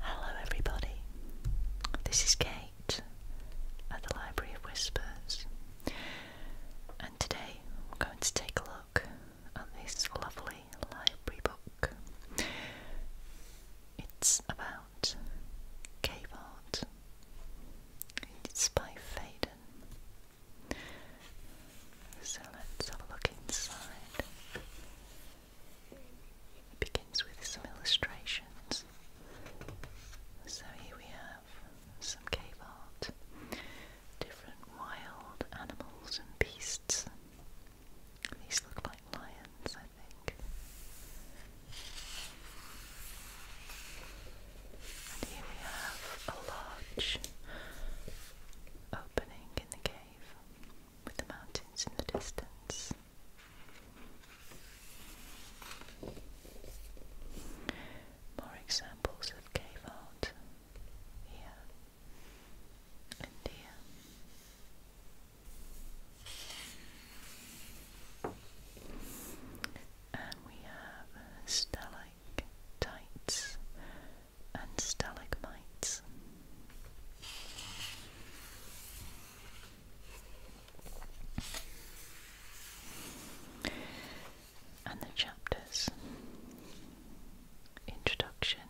Hello, everybody. This is Kate at the Library of Whispers, and today I'm going to take a look at this lovely library book. It's about cave art, it's by Faden. So let's have a look inside. It begins with some illustrations. So here we have some cave art, different wild animals and beasts. These look like lions, I think. And here we have a large opening in the cave with the mountains in the distance. More examples of cave art here and here. And we have uh, stellic and stalagmites. And the chapters Introduction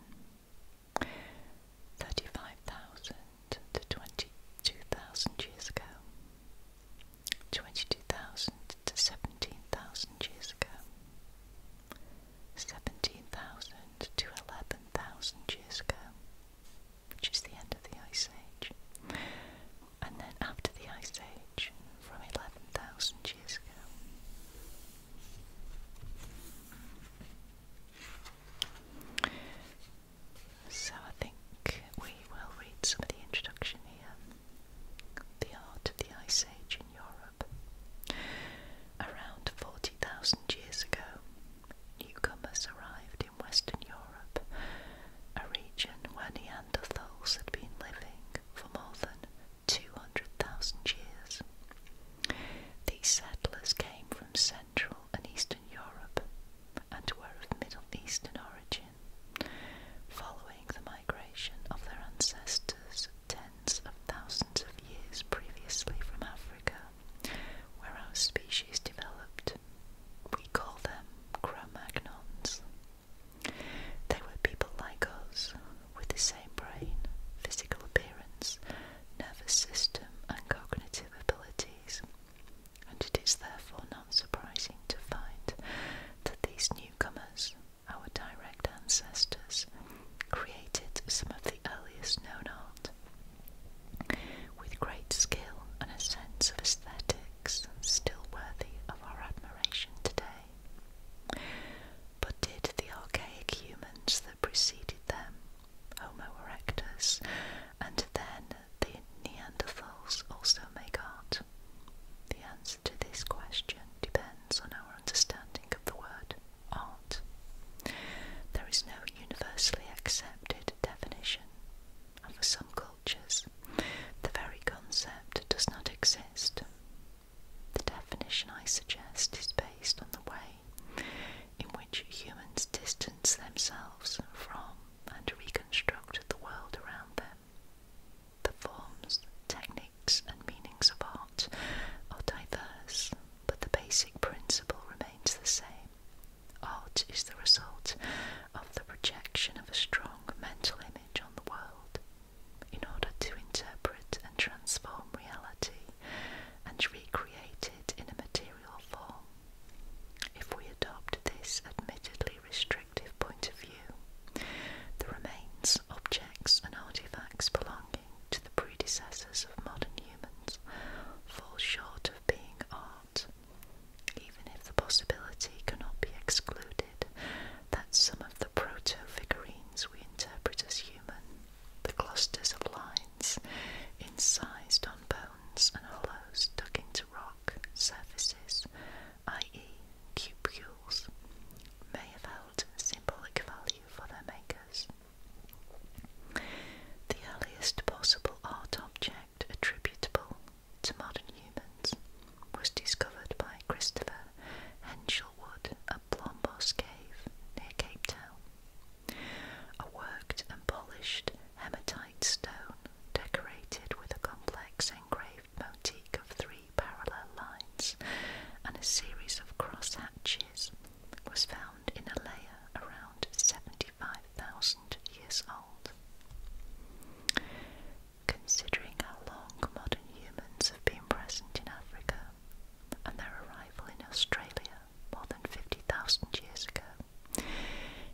35,000 to 22,000 years ago, 22,000 to 17,000 years ago. 17,000 to 11,000 years ago, which is the end of the Ice Age. And then after the Ice Age, from 11,000 years ago. So I think we will read some of the introduction here. The Art of the Ice Age Around 40,000 years ago, newcomers arrived in Western Europe, a region where Neanderthals had been living for more than 200,000 years. These settlers came from Central and Eastern Europe and were of Middle Eastern origin, following the migration of their ancestors tens of thousands of years previously from Africa, where our species developed. We call them Cro-Magnons. They were people like us, with the same brain, physical appearance, nervous system, and cognitive abilities, and it is therefore not surprising to find that these newcomers our direct ancestors, created some of the earliest known art with great skill and a sense of aesthetics still worthy of our admiration today. But did the archaic humans that preceded them, Homo erectus, and then the Neanderthals also make art? The answer to this question depends on our understanding of the word art. There is no universally accepted definition, and for some cultures, the very concept does not exist. The definition I suggest is based on the way in which humans distance themselves from and reconstruct the world around them. The forms, techniques, and meanings of art are diverse, but the basic principle remains the same. Art is the result of the projection of a strong mental image on the world. In order to interpret and transform reality and recreate it in a material form. If we adopt this admittedly restrictive point of view, the remains, objects, and artifacts belong to the predecessors of modern humans falls short of being art, even if the possibility cannot be excluded that some of the proto-figurines we interpret as human, the clusters of lines incised on bones and hollows dug into rock surfaces, i.e. cupules, may have symbolic value for their makers. The earliest possible art object attributable to modern humans was discovered by Christopher Henschelwood at Blombos Cave near Cape Town. A worked and polished hematite stone decorated with a complex engraved motif of three parallel lines and a series of cross hatches was found in a layer around 75,000 years old. Considering how long modern humans have been present in Africa and their arrival in Australia more than 50,000 years ago,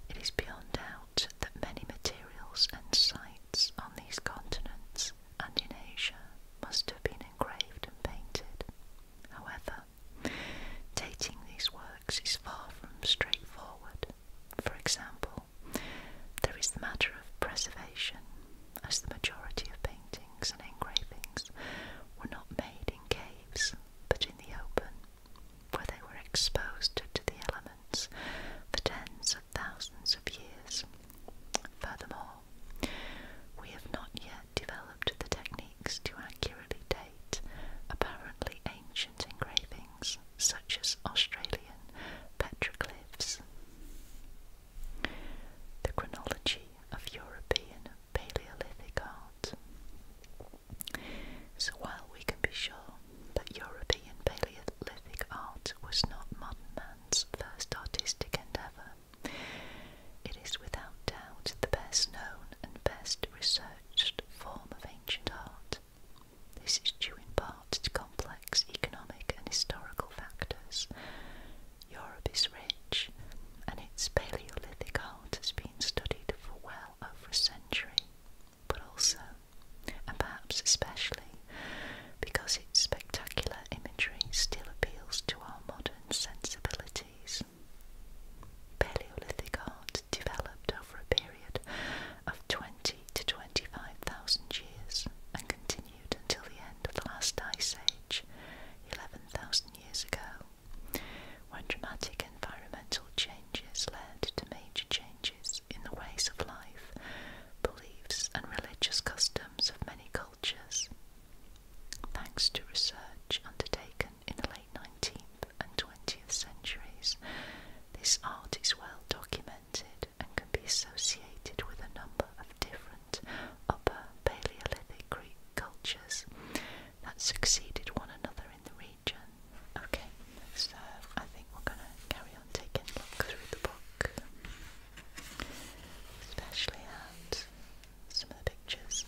it is beyond doubt that many materials and sites on these continents and in Asia must have been engraved and painted. However, dating these works is far from straightforward. For example, there is the matter of preservation, as the majority of paintings and engravings were not made in caves but in the open, where they were exposed to the elements for tens of thousands of years. Furthermore, we have not yet developed the techniques to accurately date apparently ancient engravings such as Australian petroglyphs. The chronology of European Paleolithic art. So, while we can be sure that European Paleolithic art was not modern man's first artistic endeavour, it is without doubt the best known and best researched form of ancient art. This is due in part to complex economic and historical factors. Europe is rich, and its Paleolithic art has been studied for well over a century. But also, and perhaps especially, because its spectacular imagery still appeals to our modern sensibilities. Paleolithic art developed over a period of 20 to 25,000 years and continued until the end of the last ice age, 11,000 years ago, when dramatic environmental changes led to major changes in the ways of life, beliefs, and religious customs of many thanks to research undertaken in the late 19th and 20th centuries. This art is well documented and can be associated with a number of different upper Paleolithic Greek cultures that succeeded one another in the region. Okay, so I think we're going to carry on taking a look through the book especially at some of the pictures.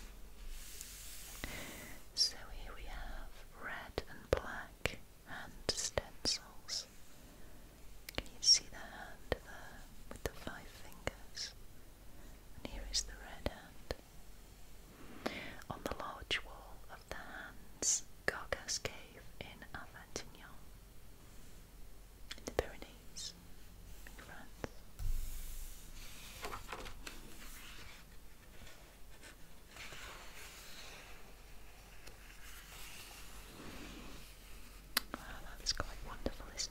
So here we have red and black hand stencils. Can you see the hand there with the five fingers? And here is the red hand. On the large wall of the hands, Gargas Cave in Avignon in the Pyrenees in France. Wow, that's quite wonderful, is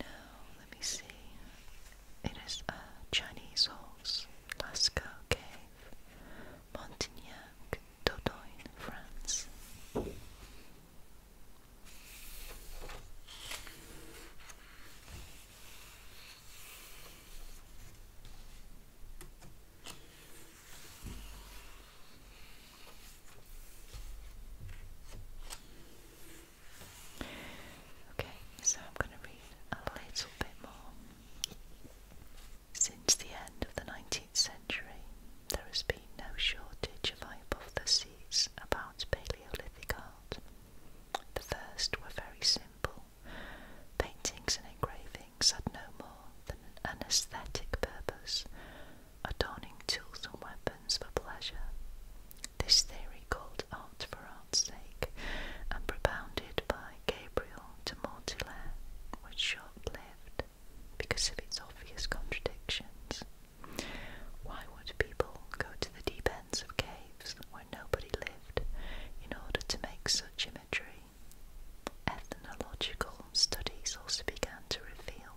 Now, let me see. It is a Chinese horse, Lascaux Cave, Montignac, Dordogne, France. Okay, so I'm going to read a little bit more. Since the end of the 19th century, there has been no shortage of hypotheses about Paleolithic art. The first were very simple. Paintings and engravings had no more than an aesthetic purpose, adorning tools and weapons for pleasure. This theory, called art for art's sake and propounded by Gabriel de Mortimer, was shortly because of its obvious contradictions. Why would people go to the deep ends of caves where nobody lived in order to make such imagery? Ethnological studies also began to reveal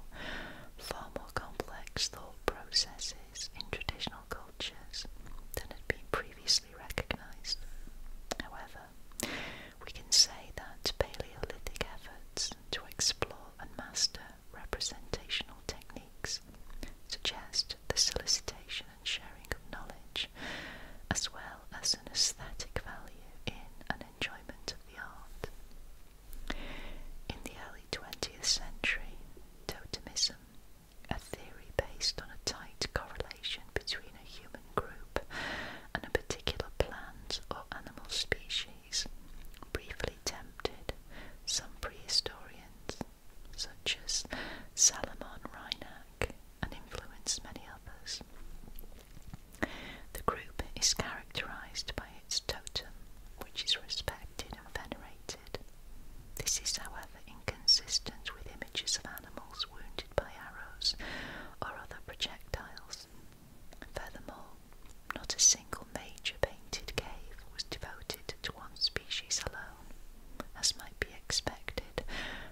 far more complex thought processes in traditional cultures than had been previously recognized. However, we can say that Paleolithic efforts to explore and master representational techniques suggest the solicitation and sharing of knowledge, as well as an aesthetic value in an enjoyment of the art. In the early 20th century, totemism, a theory based on a tight correlation between a human group and a particular plant or animal species, briefly tempted some prehistorians, such as Salomon Reinach, and influenced many others. The group is characterized by its totem, which is respected and venerated. This is, however, inconsistent with images of animals wounded by arrows or other projectiles. Furthermore, not a single major painted cave was devoted to one species alone, as might be expected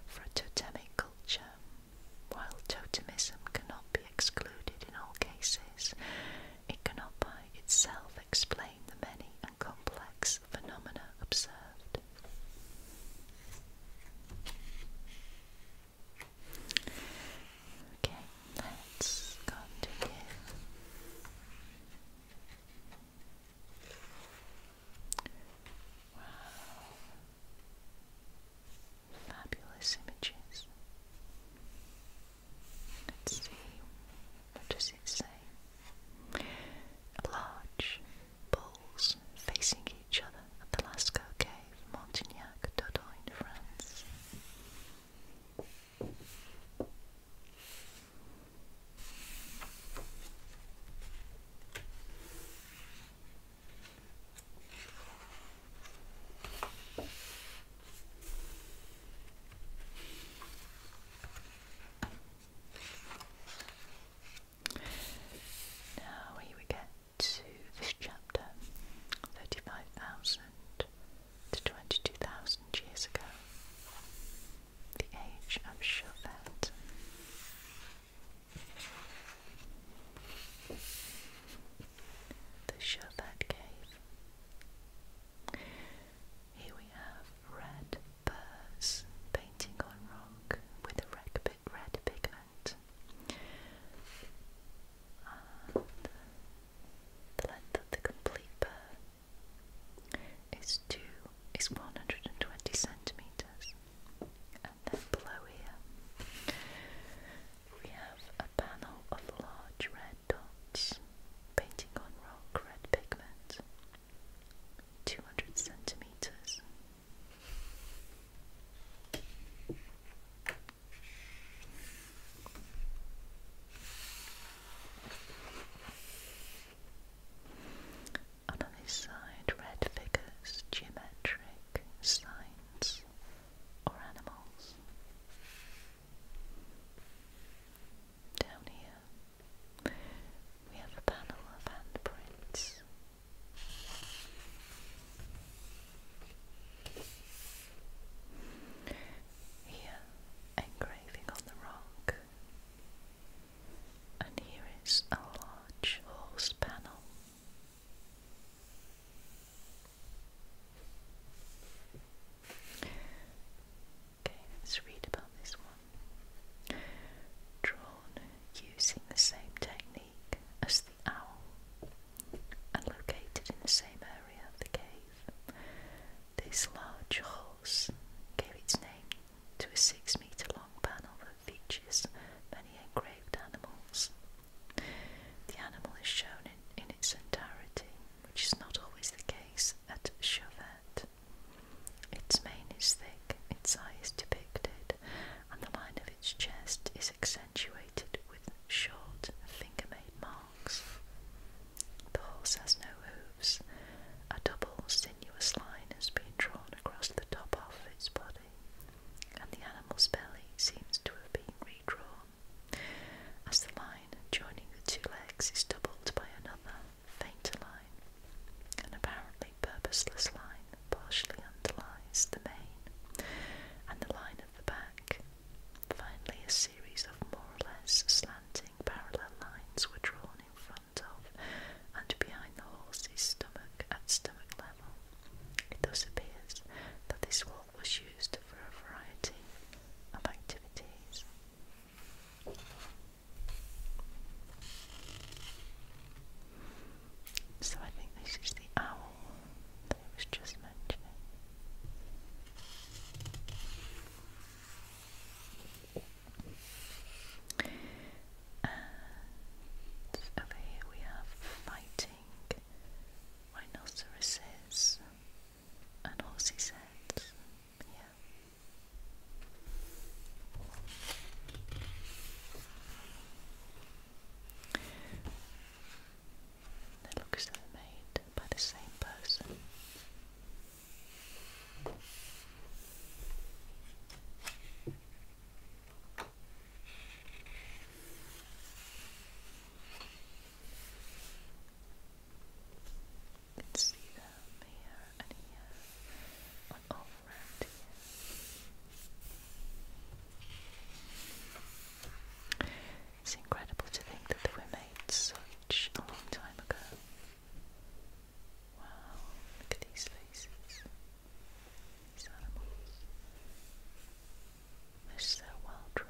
for a totemic culture. While totemism cannot be excluded in all cases, it cannot by itself explain the many and complex phenomena observed. Okay, let's continue. Wow. Fabulous images. Let's see, what does it say? Large balls facing each other at the Lascaux Cave, Montignac, Dordogne, France. Now, here we get to this chapter 35,000 to 22,000 years ago, the age of Chauvet. The Chauvet Cave. Here we have red birds painting on rock with a rugby red pigment. the length of the complete burr is two is 120 centimeters. And then below here we have a panel of large red dots painting on rock red pigment. 200 centimeters on this side, red figures, geometric signs or animals. Down here, we have a panel of handprints here, engraving on the rock, and here is a large horse panel. Okay, let's read about this one. Drawn using the same technique as the owl and located in the same area of the cave. This large horse gave its name to a six metre long panel that features many engraved animals. The animal is shown in, its entirety, which is not always the case at Chauvet. Its mane is thick, its eye is depicted, and the line of its chest is accentuated with short finger-made marks. The horse has no hooves. A double sinuous line has been drawn across the top half of its body, and the animal's belly seems to have been redrawn, as the line joining the two legs is doubled by another fainter line, and apparently purposeless line partially underlies the mane and the line of the back. Finally, a series of more or less slanting parallel lines were drawn in front of and behind the horse's stomach at stomach level. It thus appears that this wall was used for a variety of activities. So I think this is the owl that I was just mentioning. And over here we have fighting rhinoceroses and horses' Yeah. They look as made by the same person. You can see them here and here Oh, it's incredible to think that they were made such a long time ago. Wow, look at these faces. These animals. They're so well drawn.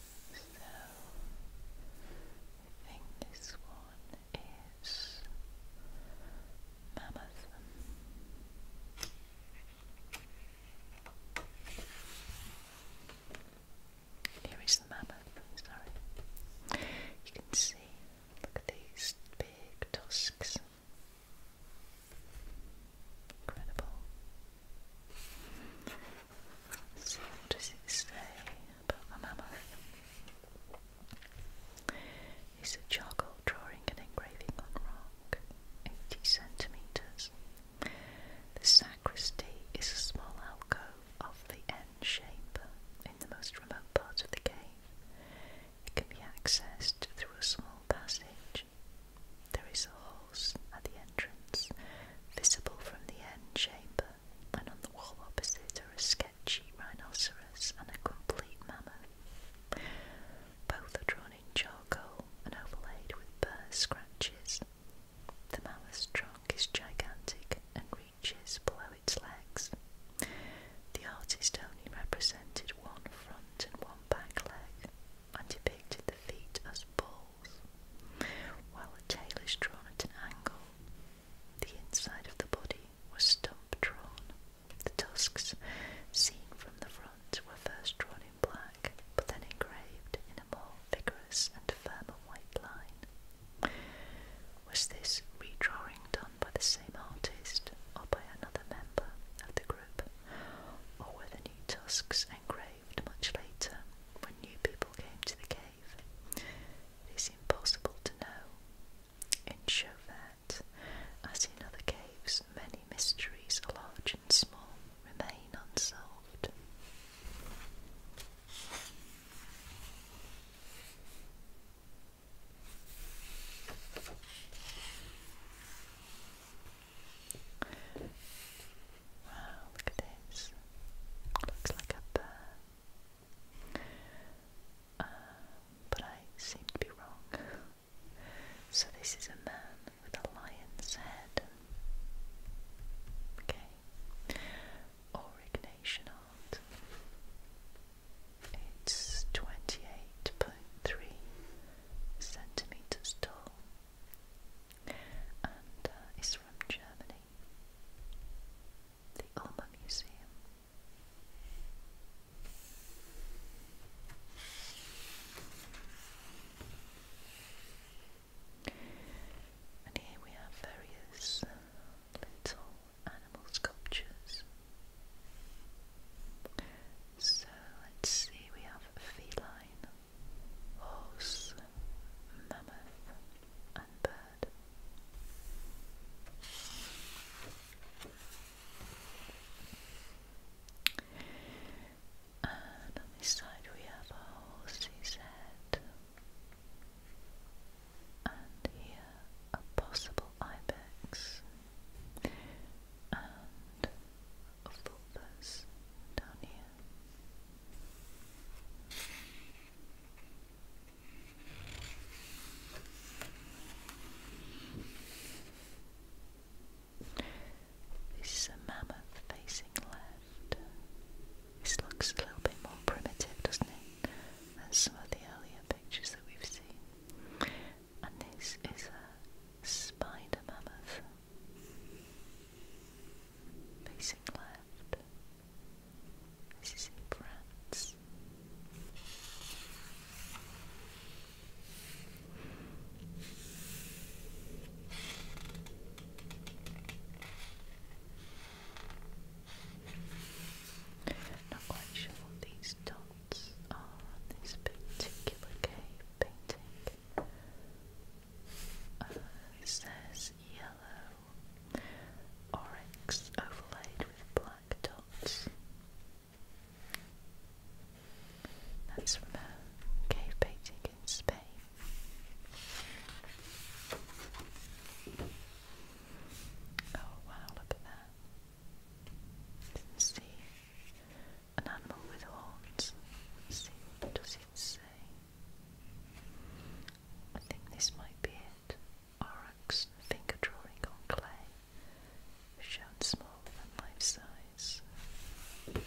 So I think this one is mammoth. Here is the mammoth, sorry. You can see, look at these big tusks. Incredible. what does it say about the mammoth. It's a charcoal drawing and engraving on rock, 80 centimetres. The sacristy is a small alcove of the end shape in the most remote part of the cave. It can be accessed through a small passage there is a horse at the entrance, visible from the end chamber, and on the wall opposite are a sketchy rhinoceros and a complete mammoth. Both are drawn in charcoal and overlaid with burr scratches. The mammoth's trunk is gigantic and reaches below its legs. The artist only represented one front and one back leg and depicted feet as balls, while the tail is drawn at an angle. The inside of the body was stump drawn. The tusks, seen from the front, were first drawn in black, but then engraved in a more vigorous and firmer white line. Was this redrawing done by the same artist or by another member of the group, or were the new tusks engraved? arrived much later when new people came to the cave. It is impossible to know. In Chauvet, as in other caves, many mysteries, large and small, remain unsolved. Wow, look at this. Looks like a um, but I seem to be wrong. So this is a man with a lion's head. Okay. Orignation art. It's twenty-eight point three centimeters tall and uh, is from Germany. The Ulmer Museum. And here we have various uh, little animal sculptures. So let's see, we have a feline, horse, mammoth, and bird. And on this side we have a horse's head, and here a possible ibex, and fulvus down here. This is a mammoth facing left. This looks a little bit more primitive, doesn't it, than some of the earlier pictures that we've seen. And this is a spider mammoth. Facing left. This is in France. Not quite sure what these dots are on this particular cave, painting. it says yellow oryx overlaid with black dots. That's from a cave painting in Spain. Oh wow, look at that. Didn't see an animal with horns. see, does it say? I think this might be it. Aurochs, finger drawing on clay, shown small and life size. can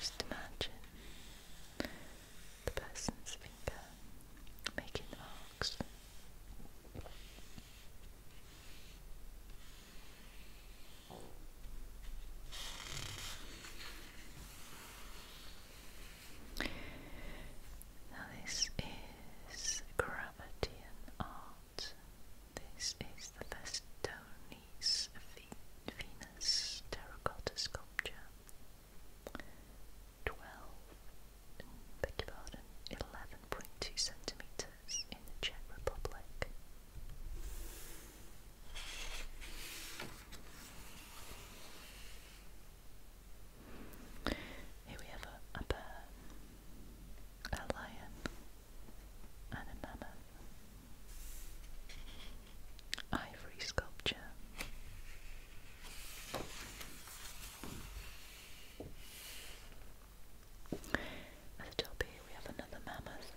just imagine the person's finger making art box. Now, this is Grammatian art. This is the Vestoni's Venus terracotta sculpture. 12 beg 11.2 centimeters in the Czech Republic. Here we have a, a bear, a lion, and a mammoth. Ivory sculpture. At the top we have another mammoth,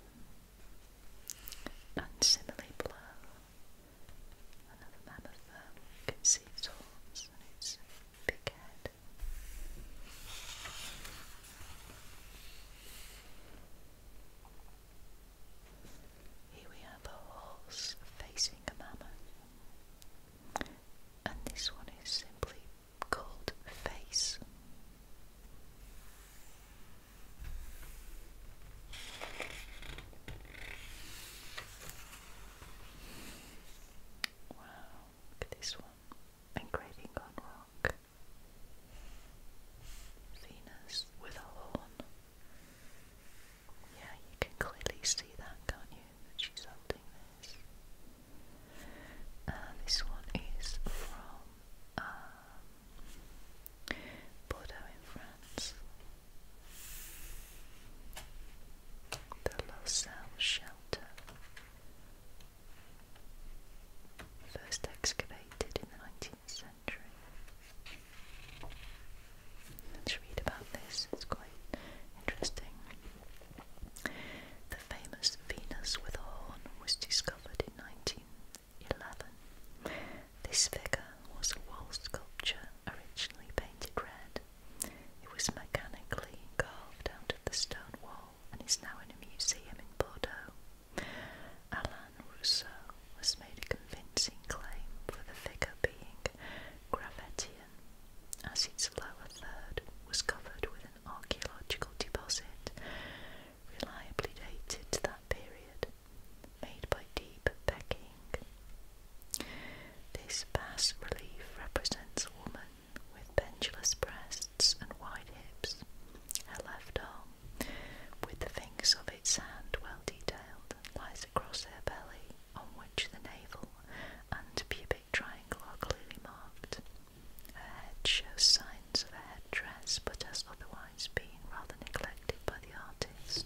and similarly below, another mammoth You can see its horns and its big head. Here we have a horse facing a mammoth, and this one is simply called Face. Wow, look at this one. Engraving on rock. Venus with a horn. Yeah, you can clearly see that, can't you? she's holding this. Uh, this one is from um, Bordeaux in France. The Lausanne Shelter, first excavated in the nineteenth century. Let's read about this. It's quite interesting. The famous Venus with a horn was discovered in 1911. This figure was a wall sculpture originally painted red. It was mechanically carved out of the stone wall and is now in a museum in Bordeaux. Alain Rousseau has made a convincing claim for the figure being Gravettian as its lower third was covered with an archaeological deposit reliably dated to that period, made by deep pecking. This bas relief represents a woman with pendulous breasts and wide hips, her left arm, with the fingers of its hand well detailed, lies across her belly, on which the navel and pubic triangle are clearly marked. Her head shows signs of a head dress, but has otherwise been rather neglected by the artist.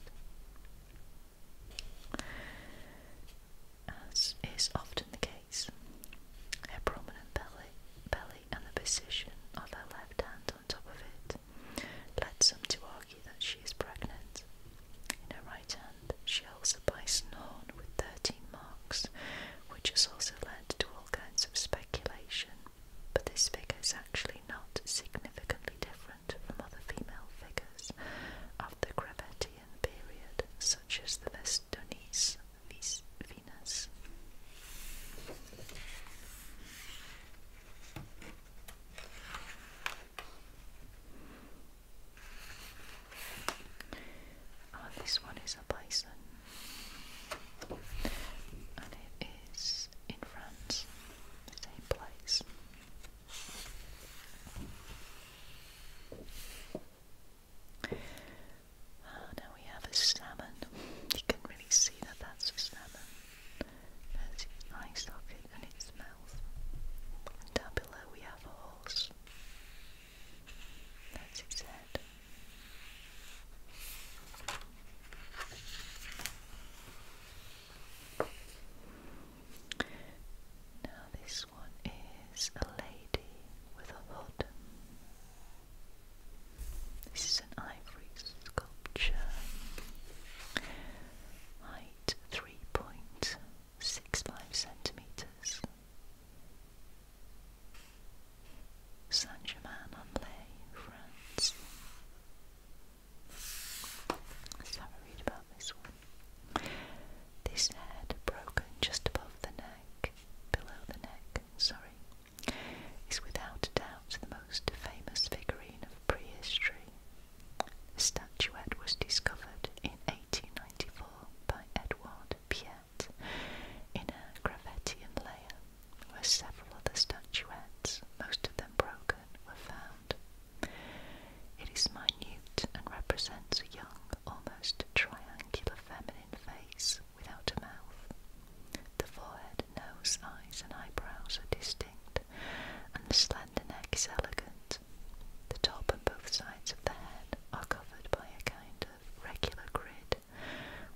As is often the case, her prominent belly, and the position of her left hand on top of it leads some to argue that she is pregnant. In her right hand, Scotland, she also buys Norn with 13 marks, which has also led to all kinds of speculation. But this figure is actually not significantly different from other female figures of the Gravettian period, such as the Vestonice Venus. Oh, this one is a bison, and it is in France, the same place. Oh, now we have a salmon. You can really see that that's a salmon. There's its eye socket and its mouth. down below we have a horse. That's his head. Now, this one is a lady with a hood. This is an ivory sculpture. Height three point six five centimeters saint germain France. Let's have a read about this one. This head, broken just above the neck, below the neck, sorry, is without doubt the most famous figurine of prehistory. The statuette was discovered in 1895 by Edouard Piette in a Gravettian layer where several other statuettes, most of them broken, were found. It is minute and represents a young, almost triangular feminine face without a mouth. The forehead, nose, eyes, and eyebrows are distinct, and the slender neck is elegant. The top and both sides of the head are covered by a kind of regular grid,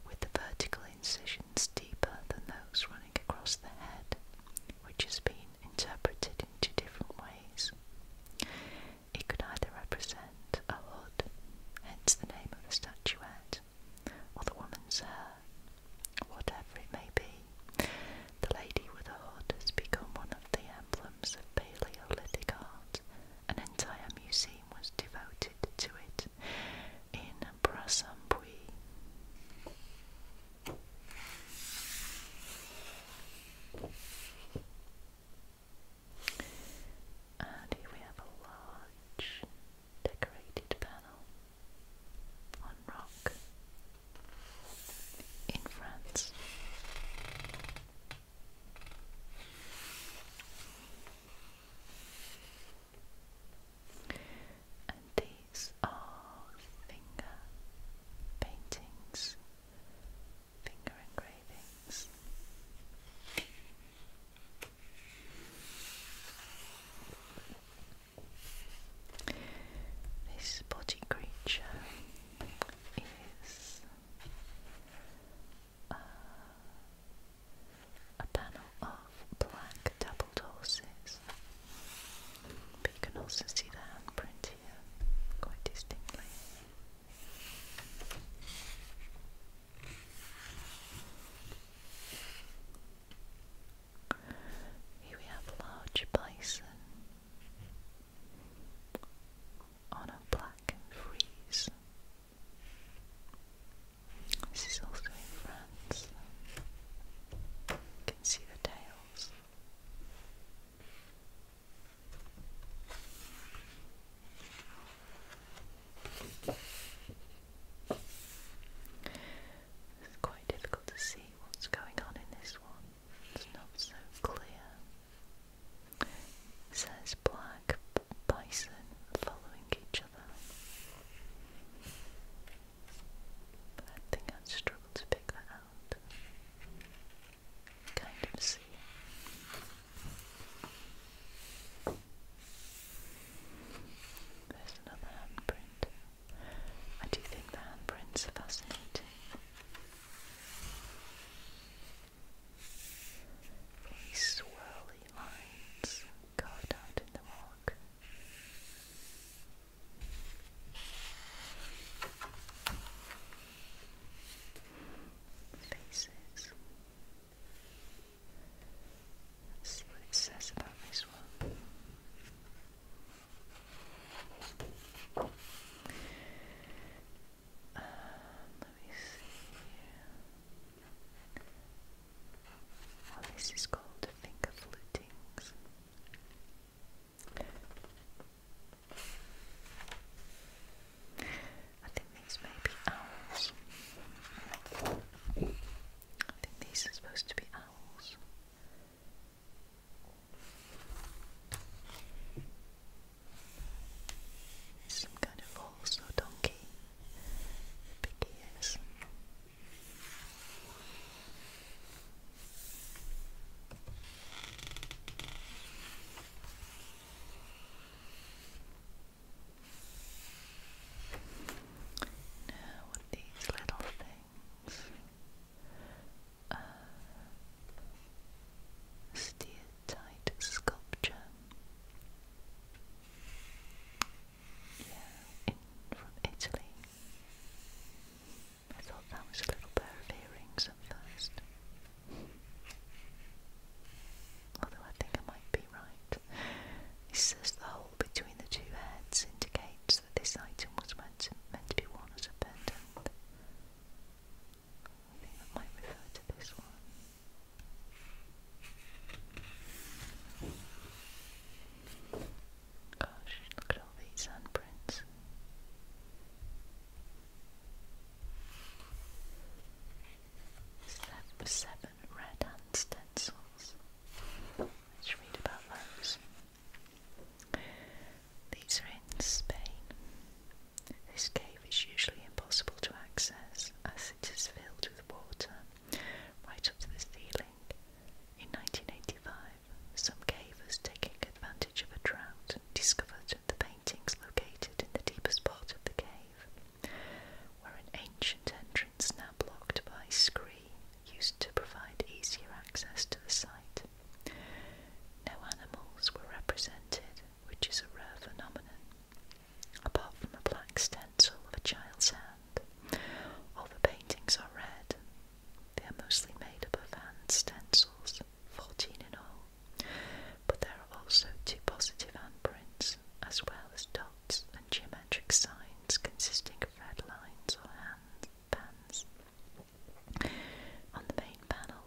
with the vertical incisions deeper than those running across the head, which has been interpreted in two different ways. It could either represent a hood, hence the name of the statuette, or the woman's hair, whatever it may be. The lady with a hood has become one of the emblems of Paleolithic art, an entire museum was devoted to it in Brassambouy. And here we have a large decorated panel on rock in France these are finger paintings, finger engravings. This body creature is uh, a panel of black doubled horses. But you can also see the handprint here quite distinctly. Here we have large bison on a black freeze. This is also in France. can see the tails. It's quite difficult to see what's going on in this one. It's not so clear says black bison following each other. But I I'd to pick that out. Kind of see. There's another handprint. I do think the handprints are fascinating. These swirly lines carved out in the rock. Faces. see what it says about this one. Um, let me see oh, this is called finger flutings. I think these may be owls. I think these are supposed to be owls. Some kind of horse or donkey, big ears. Now, what these little things? um, steatite sculpture. Yeah, from Italy. I thought that was a little pair of earrings at first. Although I think I might be right. It says the hole between the two heads indicates that this item was meant meant to be worn as a pendant. I think that might refer to this one. Gosh, look at all these handprints. Seven, seven red hand stencils. Let's read about those. These are in Spain. This cave is usually impossible to access as it is filled with water right up to the ceiling. In 1985, some cavers taking advantage of a drought discovered the paintings located in the deepest part of the cave, where an ancient entrance now blocked by scree used to provide easier access to the site. No animals were represented, which is a rare phenomenon, apart from a black stencil of a child's hand. All the paintings are red. They are mostly made up of hand stencils, 14 in all, but there are also two positive handprints, as well as dots and geometric signs consisting of red lines or hand pens. On the main panel,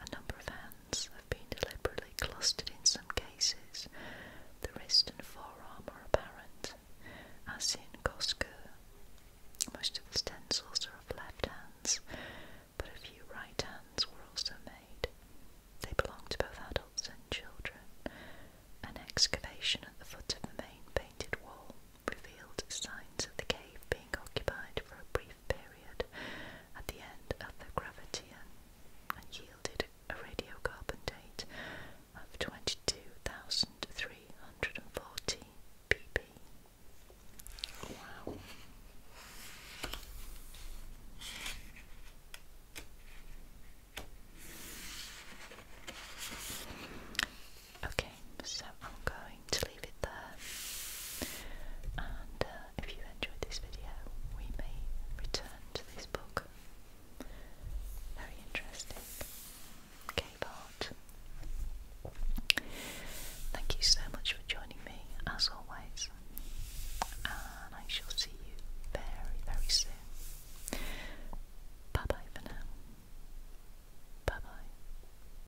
a number of hands have been deliberately clustered in some cases. The wrist and forearm are apparent, as in Kosker. Most of the stencils are of left hands, but a few right hands were also made. They belong to both adults and children. An excavation at the foot of the main painted wall revealed signs of the cave being occupied for a brief period at the end of the Gravitian and yielded a radiocarbon date of 22,340 pp. Wow. Okay, so I'm going to leave it there. And uh, if you enjoyed this video, we may return to this book. Very interesting. Cape Thank you so much for joining me, as always. And I shall see you very, very soon. Bye bye for now. Bye bye.